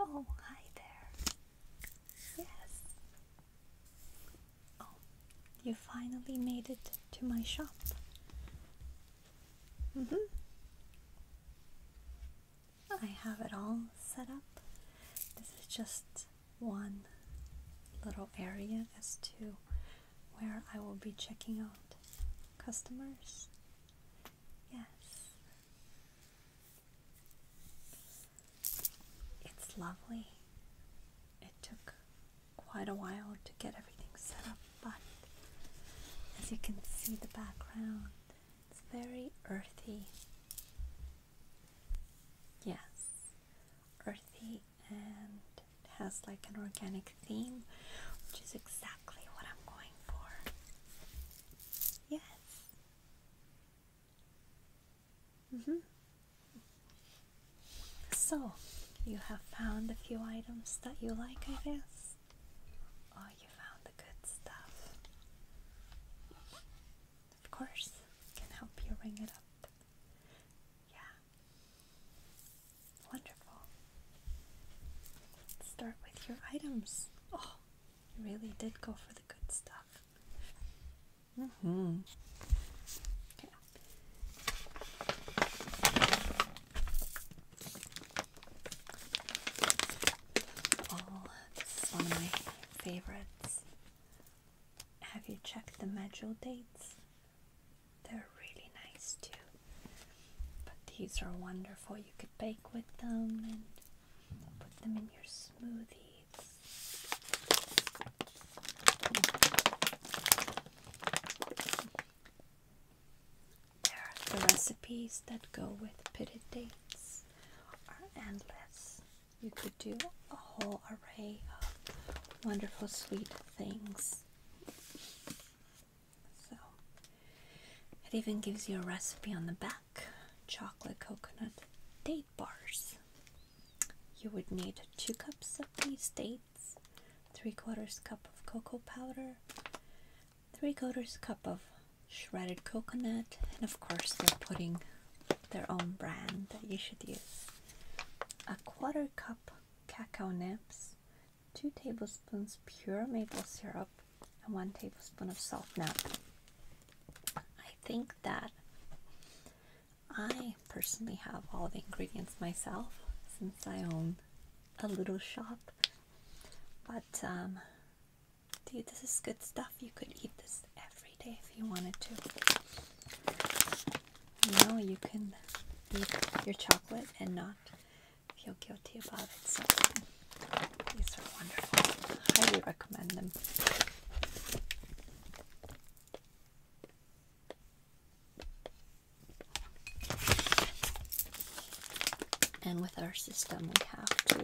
Oh, hi there. Yes. Oh, you finally made it to my shop. Mm hmm. I have it all set up. This is just one little area as to where I will be checking out customers Yes. It's lovely. It took quite a while to get everything set up, but as you can see the background, it's very earthy. Yes, earthy and has like an organic theme, which is exactly what I'm going for. Yes. Mm -hmm. So, you have found a few items that you like, I guess? Oh, you found the good stuff. Of course, can help you ring it up. Yeah. Wonderful. start with your items. Oh, really did go for the good stuff. Mm my favorites. Have you checked the medjool dates? They're really nice too. But these are wonderful. You could bake with them and put them in your smoothies. the recipes that go with pitted dates are endless. You could do a whole array of wonderful, sweet things. So, it even gives you a recipe on the back chocolate coconut date bars. You would need 2 cups of these dates, 3 quarters cup of cocoa powder, 3 quarters cup of shredded coconut, and of course they're putting their own brand that you should use. A quarter cup cacao nibs, 2 tablespoons pure maple syrup, and one tablespoon of salt. Now, I think that I personally have all the ingredients myself since I own a little shop, but um, dude, this is good stuff. You could eat this every day if you wanted to. You know, you can eat your chocolate and not feel guilty about it. These are wonderful. Highly recommend them. And with our system, we have to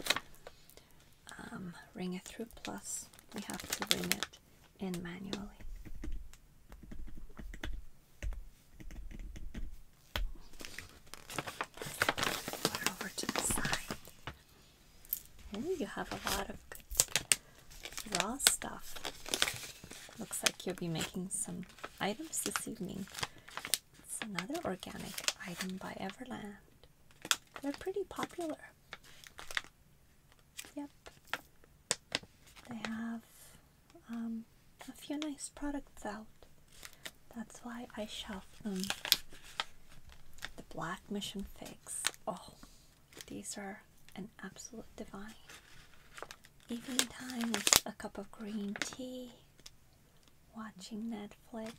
um, ring it through plus. We have to ring it in manually over to the side. And you have a lot of raw stuff. Looks like you'll be making some items this evening. It's another organic item by Everland. They're pretty popular. Yep. They have um, a few nice products out. That's why I shove them. The black mission figs. Oh, these are an absolute divine. Evening time with a cup of green tea, watching Netflix.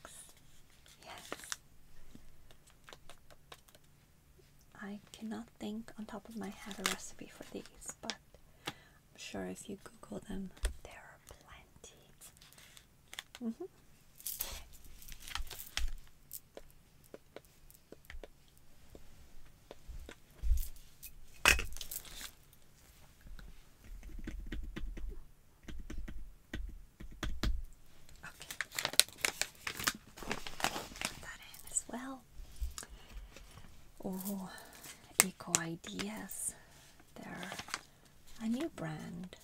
Yes. I cannot think on top of my head a recipe for these, but I'm sure if you Google them, there are plenty. -hmm. Okay, put that in as well. Oh, eco ideas. they a new brand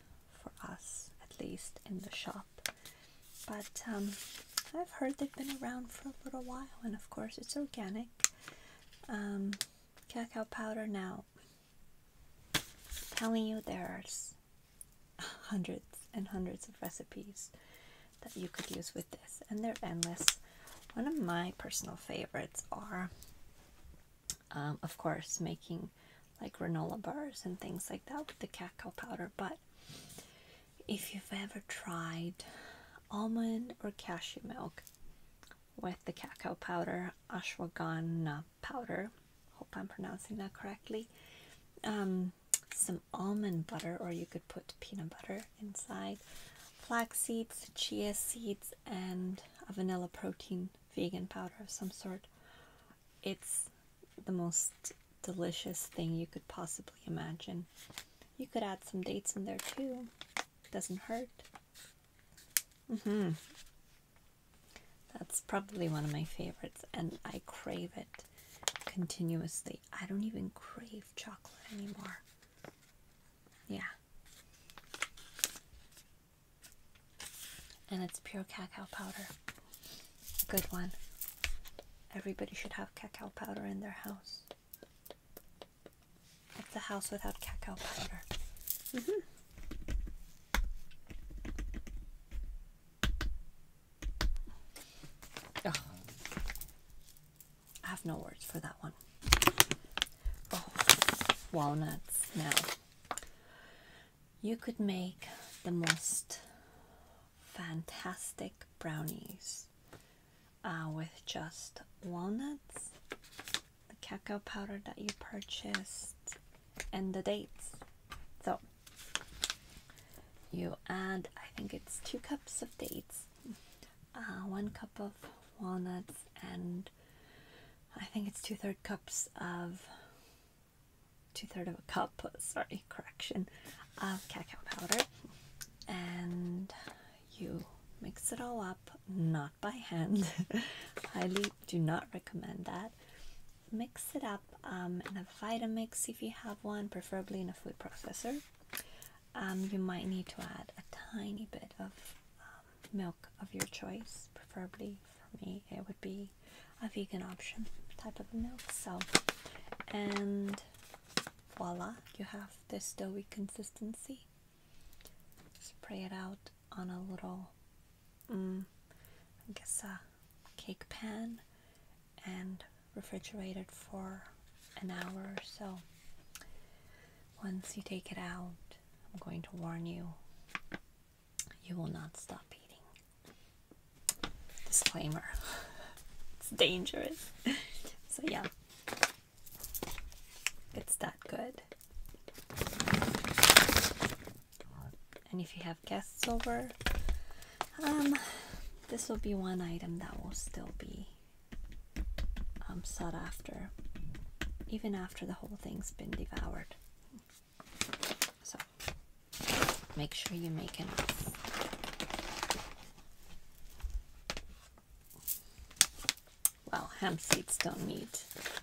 for us, at least in the shop. But um, I've heard they've been around for a little while, and of course, it's organic um, cacao powder now. telling you, there's hundreds and hundreds of recipes that you could use with this, and they're endless. One of my personal favorites are um, of course making like granola bars and things like that with the cacao powder but if you've ever tried almond or cashew milk with the cacao powder ashwagandha powder hope i'm pronouncing that correctly um, some almond butter or you could put peanut butter inside flax seeds chia seeds and a vanilla protein vegan powder of some sort. It's the most delicious thing you could possibly imagine. You could add some dates in there too. Doesn't hurt. Mm-hmm. That's probably one of my favorites, and I crave it continuously. I don't even crave chocolate anymore. Yeah and it's pure cacao powder. Good one. Everybody should have cacao powder in their house. It's a house without cacao powder. Mm-hmm. I have no words for that one. Oh, walnuts now you could make the most fantastic brownies uh, with just walnuts, the cacao powder that you purchased, and the dates. So you add, I think it's two cups of dates, uh, one cup of walnuts, and I think it's two third cups of two third of a cup sorry correction of cacao powder and you mix it all up not by hand highly do not recommend that mix it up um, in a vitamix if you have one preferably in a food processor um, you might need to add a tiny bit of milk of your choice. Preferably for me, it would be a vegan option type of milk. So, and voila, you have this doughy consistency. Spray it out on a little, mm, I guess, a cake pan and refrigerate it for an hour or so. Once you take it out, I'm going to warn you you will not stop eating. Disclaimer it's dangerous. So, yeah, it's that good. And if you have guests over, um, this will be one item that will still be um, sought after, even after the whole thing's been devoured. So make sure you make it. Well, hemp seeds don't need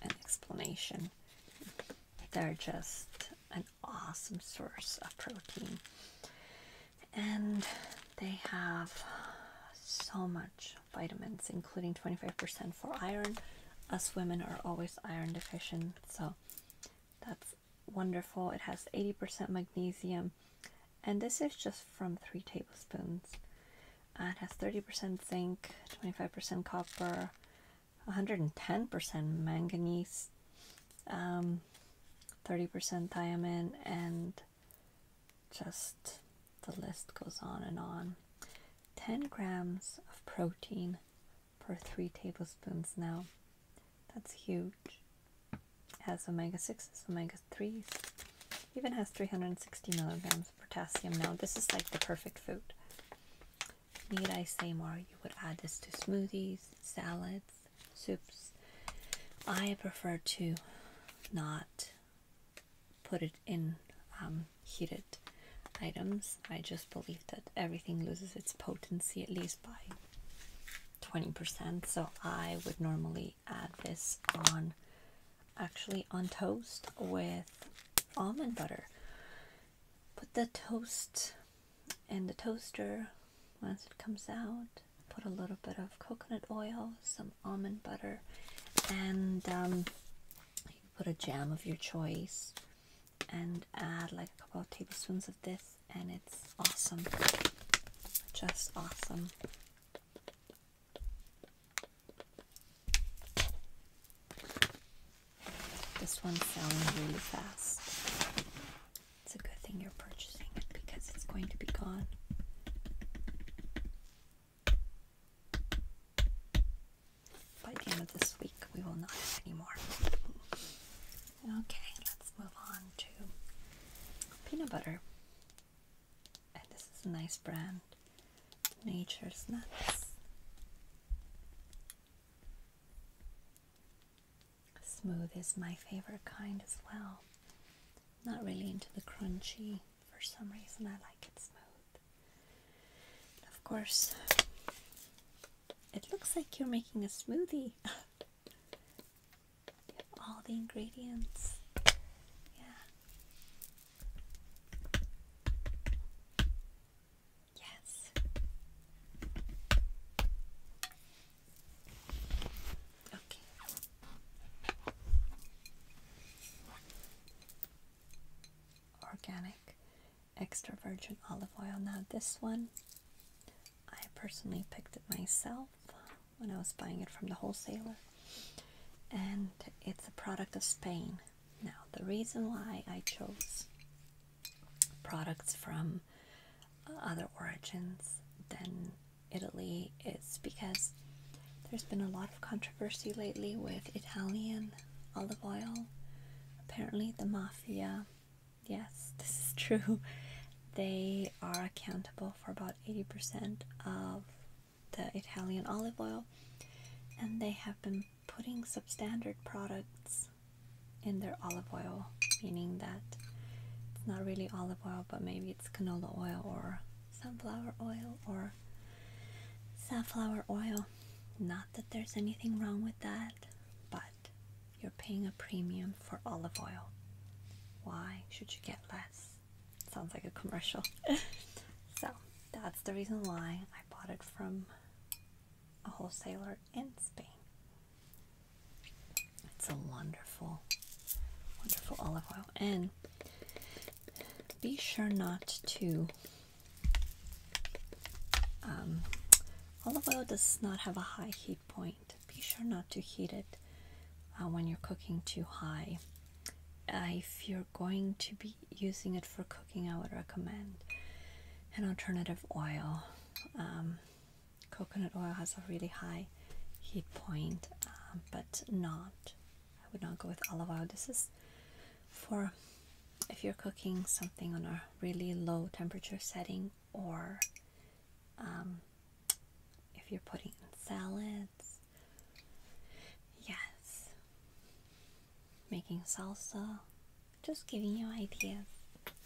an explanation. They're just an awesome source of protein. And they have so much vitamins, including 25% for iron. Us women are always iron deficient, so that's wonderful. It has 80% magnesium, and this is just from three tablespoons. Uh, it has 30% zinc, 25% copper, 110% manganese, 30% um, thiamine, and just the list goes on and on. 10 grams of protein, one per three tablespoons now. That's huge. It has omega 6s, omega 3s, even has 360 milligrams of potassium now. This is like the perfect food. Need I say more? You would add this to smoothies, salads, soups. I prefer to not put it in um, heated items. I just believe that everything loses its potency at least by 20%. So I would normally add this on actually on toast with almond butter. Put the toast in the toaster once it comes out. Put a little bit of coconut oil, some almond butter, and um, put a jam of your choice and add like a couple of tablespoons of this and it's awesome just awesome this one's selling really fast it's a good thing you're purchasing it because it's going to be gone by the end of this week, we will not have any more. Okay, let's move on to peanut butter. And this is a nice brand, Nature's Nuts. Smooth is my favorite kind as well. Not really into the crunchy. For some reason, I like it smooth of course, it looks like you're making a smoothie. all the ingredients. Yeah. Yes. Okay. Organic extra virgin olive oil. Now, this one I personally picked it myself when I was buying it from the wholesaler, and it's a product of Spain. Now, the reason why I chose products from uh, other origins than Italy is because there's been a lot of controversy controversy lately with Italian olive oil. Apparently, the mafia, yes, this is true, they are accountable for about 80% of the Italian olive oil, and they have been putting substandard products in their olive oil, meaning that it's not really olive oil, but maybe it's canola oil or sunflower oil or safflower oil not that there's anything wrong with that, but you're paying a premium for olive oil. Why should you get less? Sounds like a commercial. so that's the reason why I bought it from a wholesaler in Spain. It's a wonderful, wonderful olive oil. And be sure not to um, olive oil does not have a high heat point. Be sure not to heat it uh, when you're cooking too high. Uh, if you're going to be using it for cooking, I would recommend an alternative oil. Um, coconut oil has a really high heat point, uh, but not. I would not go with olive oil. This is for if you're cooking something on a really low temperature setting, or um, if you're putting in salads, yes, making salsa, just giving you ideas.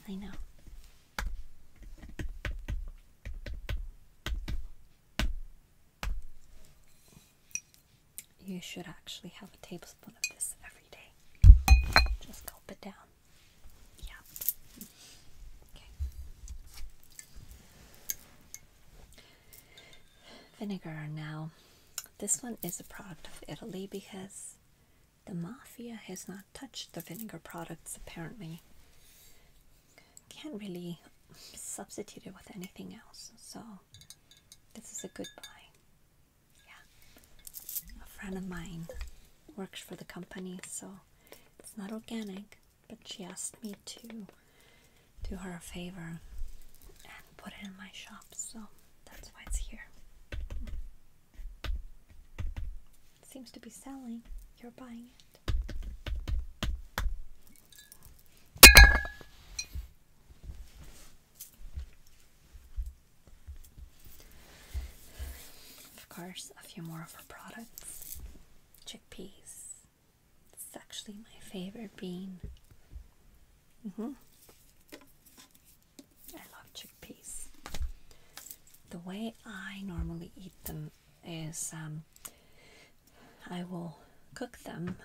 I know you should actually have a tablespoon of this every day. Just gulp it down. Yeah. Okay. Vinegar now. This one is a product of Italy because the mafia has not touched the vinegar products apparently. Can't really substitute it with anything else, so this is a good buy. Yeah. A friend of mine works for the company, so it's not organic, but she asked me to do her a favor and put it in my shop, so that's why it's here. It seems to be selling. You're buying it. Of course, a few more of her products. Chickpeas. It's actually my favorite bean. Mm hmm I love chickpeas. The way I normally eat them is um, I will cook them.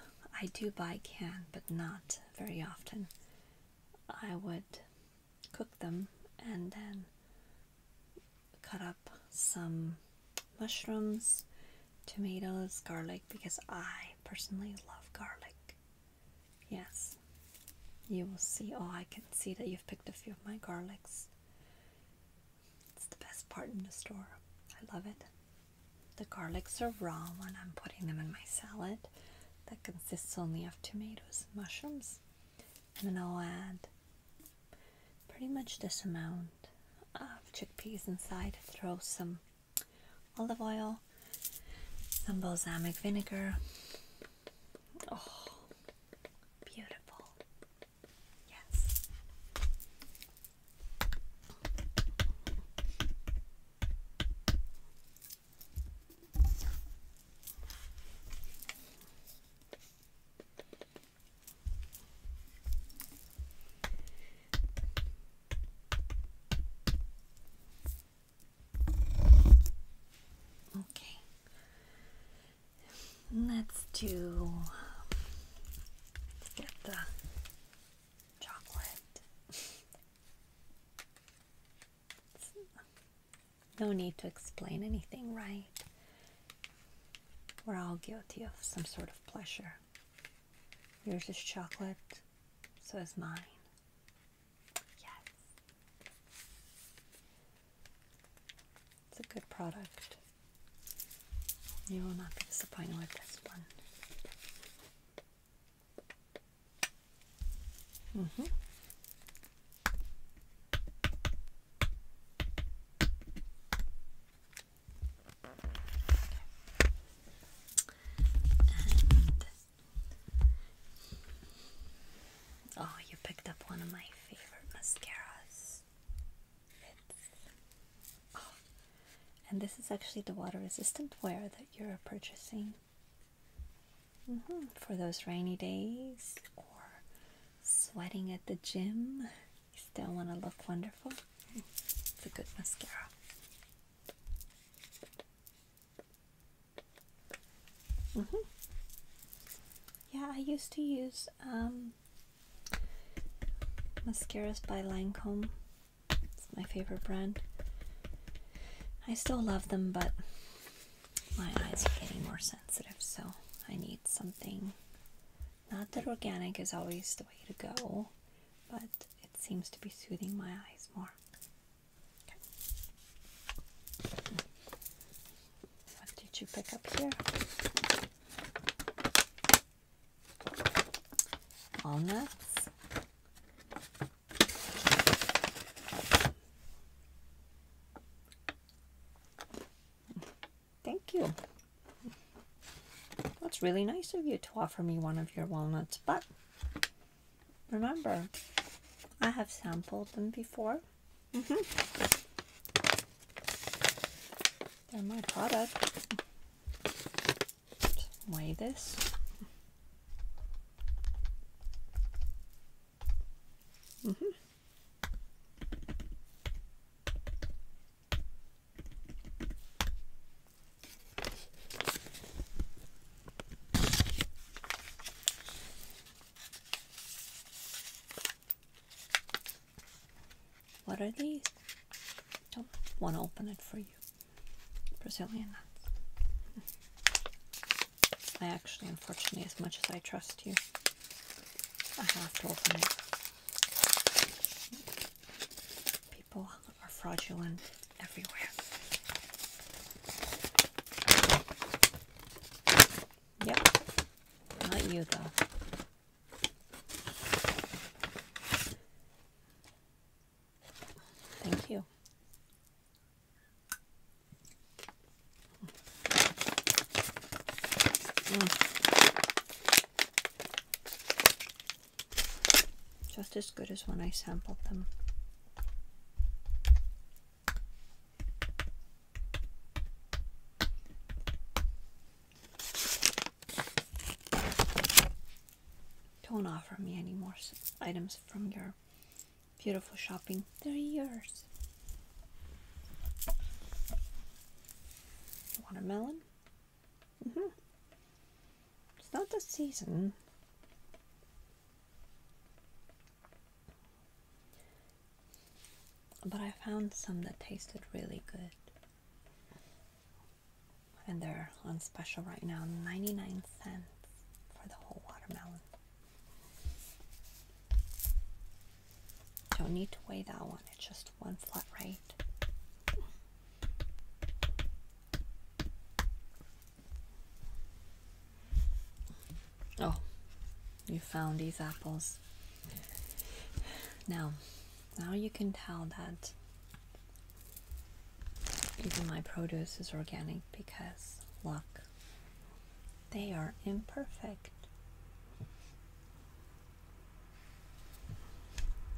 I do buy can, but not very often. I would cook them and then cut up some mushrooms, tomatoes, garlic because I personally love garlic. Yes, you will see. Oh, I can see that you've picked a few of my garlics. It's the best part in the store. I love it. The garlics are raw when I'm putting them in my salad that consists only of tomatoes and mushrooms. And then I'll add pretty much this amount of chickpeas inside. Throw some olive oil, some balsamic vinegar. Oh, beautiful. Yes. Okay. Let's do um, let's get the chocolate. No need to explain anything, right? We're all guilty of some sort of pleasure. Yours is chocolate, so is mine. Yes. It's a good product. You will not be disappointed with this one. Mm-hmm. oh, you picked up one of my favorite mascaras. Oh, and this is actually the water resistant wear that you're purchasing. Mm-hmm. For those rainy days or sweating at the gym, you still want to look wonderful. It's a good mascara. Mm-hmm. Yeah, I used to use um, mascaras by Lancome. It's my favorite brand. I still love them, but my eyes are getting more sensitive, so I need something. Not that organic is always the way to go, but it seems to be soothing my eyes more. What did you pick up here? Walnuts, Thank you. That's really nice of you to offer me one of your walnuts, but remember, I have sampled them before. Mm-hmm. They're my product weigh this. -hmm. What are these? Don't want to open it for you. Brazilian nuts. I actually, unfortunately, as much as I trust you, I have to open it. People are fraudulent everywhere. Yep, not you though. Thank you. Mm. Just as good as when I sampled them. Don't offer me any more items from your beautiful shopping. They're yours. Watermelon? Mm hmm. It's not the season. But I found some that tasted really good and they're on special right now 99 cents for the whole watermelon. Don't need to weigh that one, it's just one flat rate. Oh, you found these apples. Now, now you can tell that even my produce is organic because, look, they are imperfect.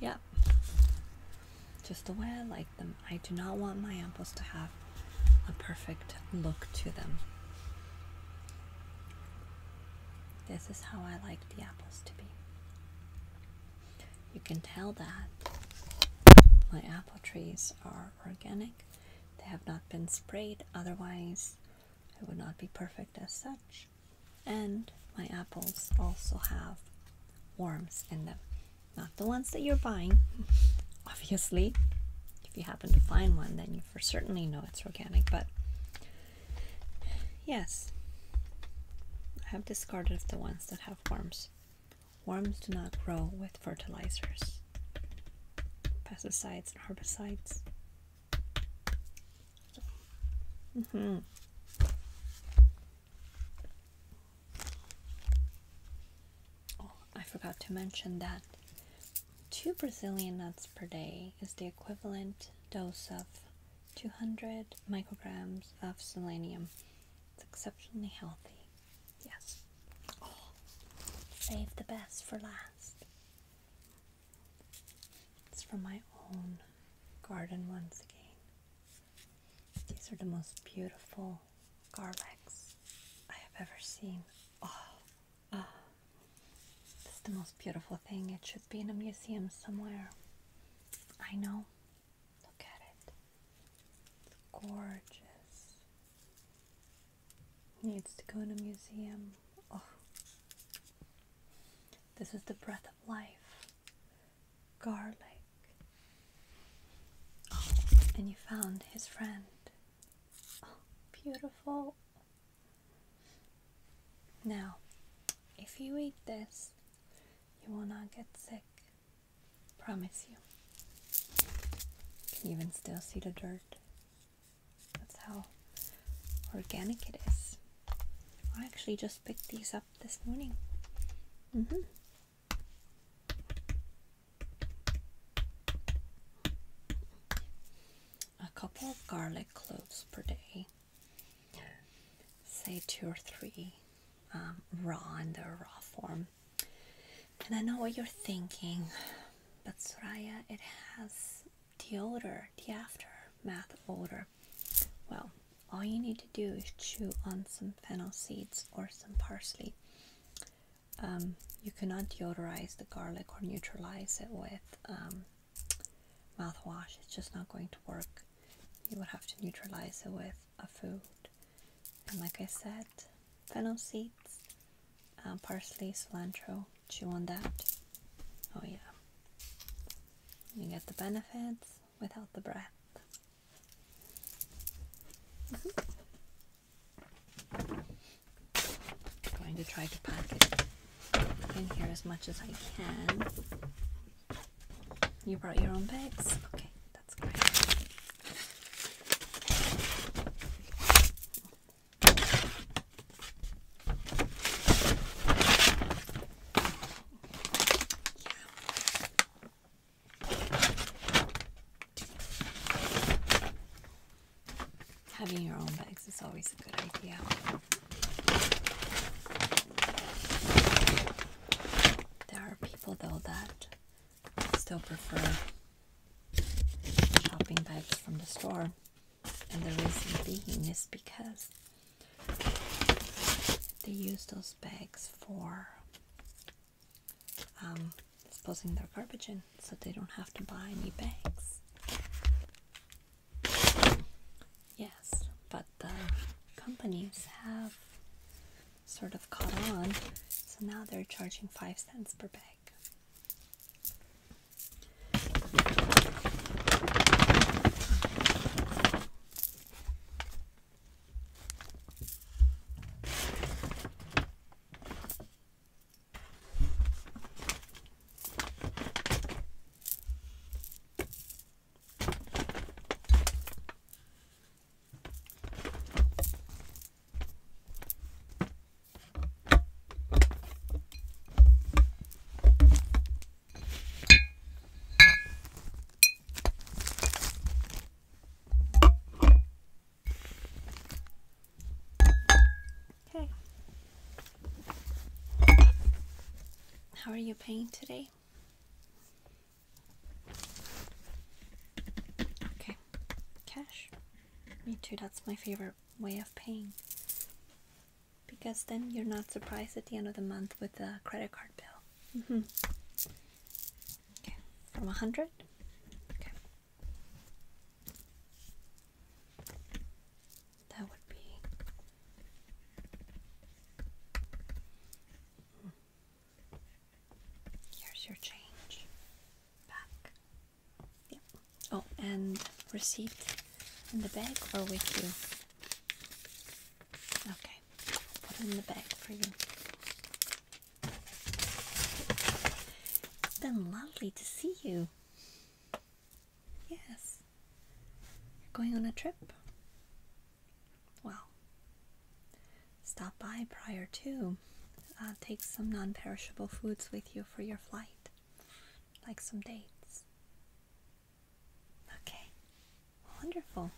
Yep, just the way I like them. I do not want my apples to have a perfect look to them. This is how I like the apples to be. You can tell that my apple trees are organic. They have not been sprayed, otherwise it would not be perfect as such. And my apples also have worms in them. Not the ones that you're buying, obviously. If you happen to find one, then you for certainly know it's organic, but yes, I have discarded the ones that have worms. Worms do not grow with fertilizers, pesticides, and herbicides. Mm-hmm. Oh, I forgot to mention that two Brazilian nuts per day is the equivalent dose of 200 micrograms of selenium. It's exceptionally healthy. Yes. Oh, save the best for last. It's from my own garden once again. These are the most beautiful garlands I have ever seen. Oh, oh. This the most beautiful thing. It should be in a museum somewhere. I know, Look at it. gorgeous. Needs to go in a museum. Oh. This is the breath of life. Garlic. and you found his friend. Oh, beautiful. Now, if you eat this, you will not get sick. Promise you. You can even still see the dirt. That's how organic it is. I actually just picked these up this morning. Mm-hmm. A couple of garlic cloves per day. Say two or three um, raw in their raw form and I know what you're thinking, but Soraya, it has the odor, the aftermath odor. Well, all you need to do is chew on some fennel seeds or some parsley. Um, you cannot deodorize the garlic or neutralize it with um, mouthwash. It's just not going to work. You would have to neutralize it with of food. And like I said, fennel seeds, um, parsley, cilantro, chew on that. Oh yeah. You get the benefits without the breath. I'm mm-hmm. going to try to pack it in here as much as I can. You brought your own bags? Okay, that's great. Having your own bags is always a good idea. There are people, though, that still prefer shopping bags from the store. And the reason being is because they use those bags for um, disposing their garbage in so they don't have to buy new bags. Yes, but the companies have sort of caught on. So now they're charging 5 cents per bag. Okay. How are you paying today? Okay, cash. Me too, that's my favorite way of paying. Because then you're not surprised at the end of the month with a credit card bill. Mm -hmm. Okay, from a hundred. Okay. That would be Here's your change. Back. Yep. Oh, and receipt in the bag or with you? Okay. put in the bag for you. It's been lovely to see you. Yes. You're going on a trip? Well, stop by prior to. Uh, take some non perishable foods with you for your flight, like some dates. Okay, wonderful.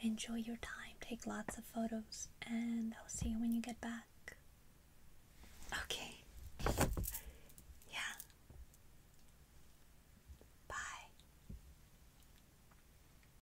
Enjoy your time, take lots of photos, and I'll see you when you get back. Okay. Yeah. Bye.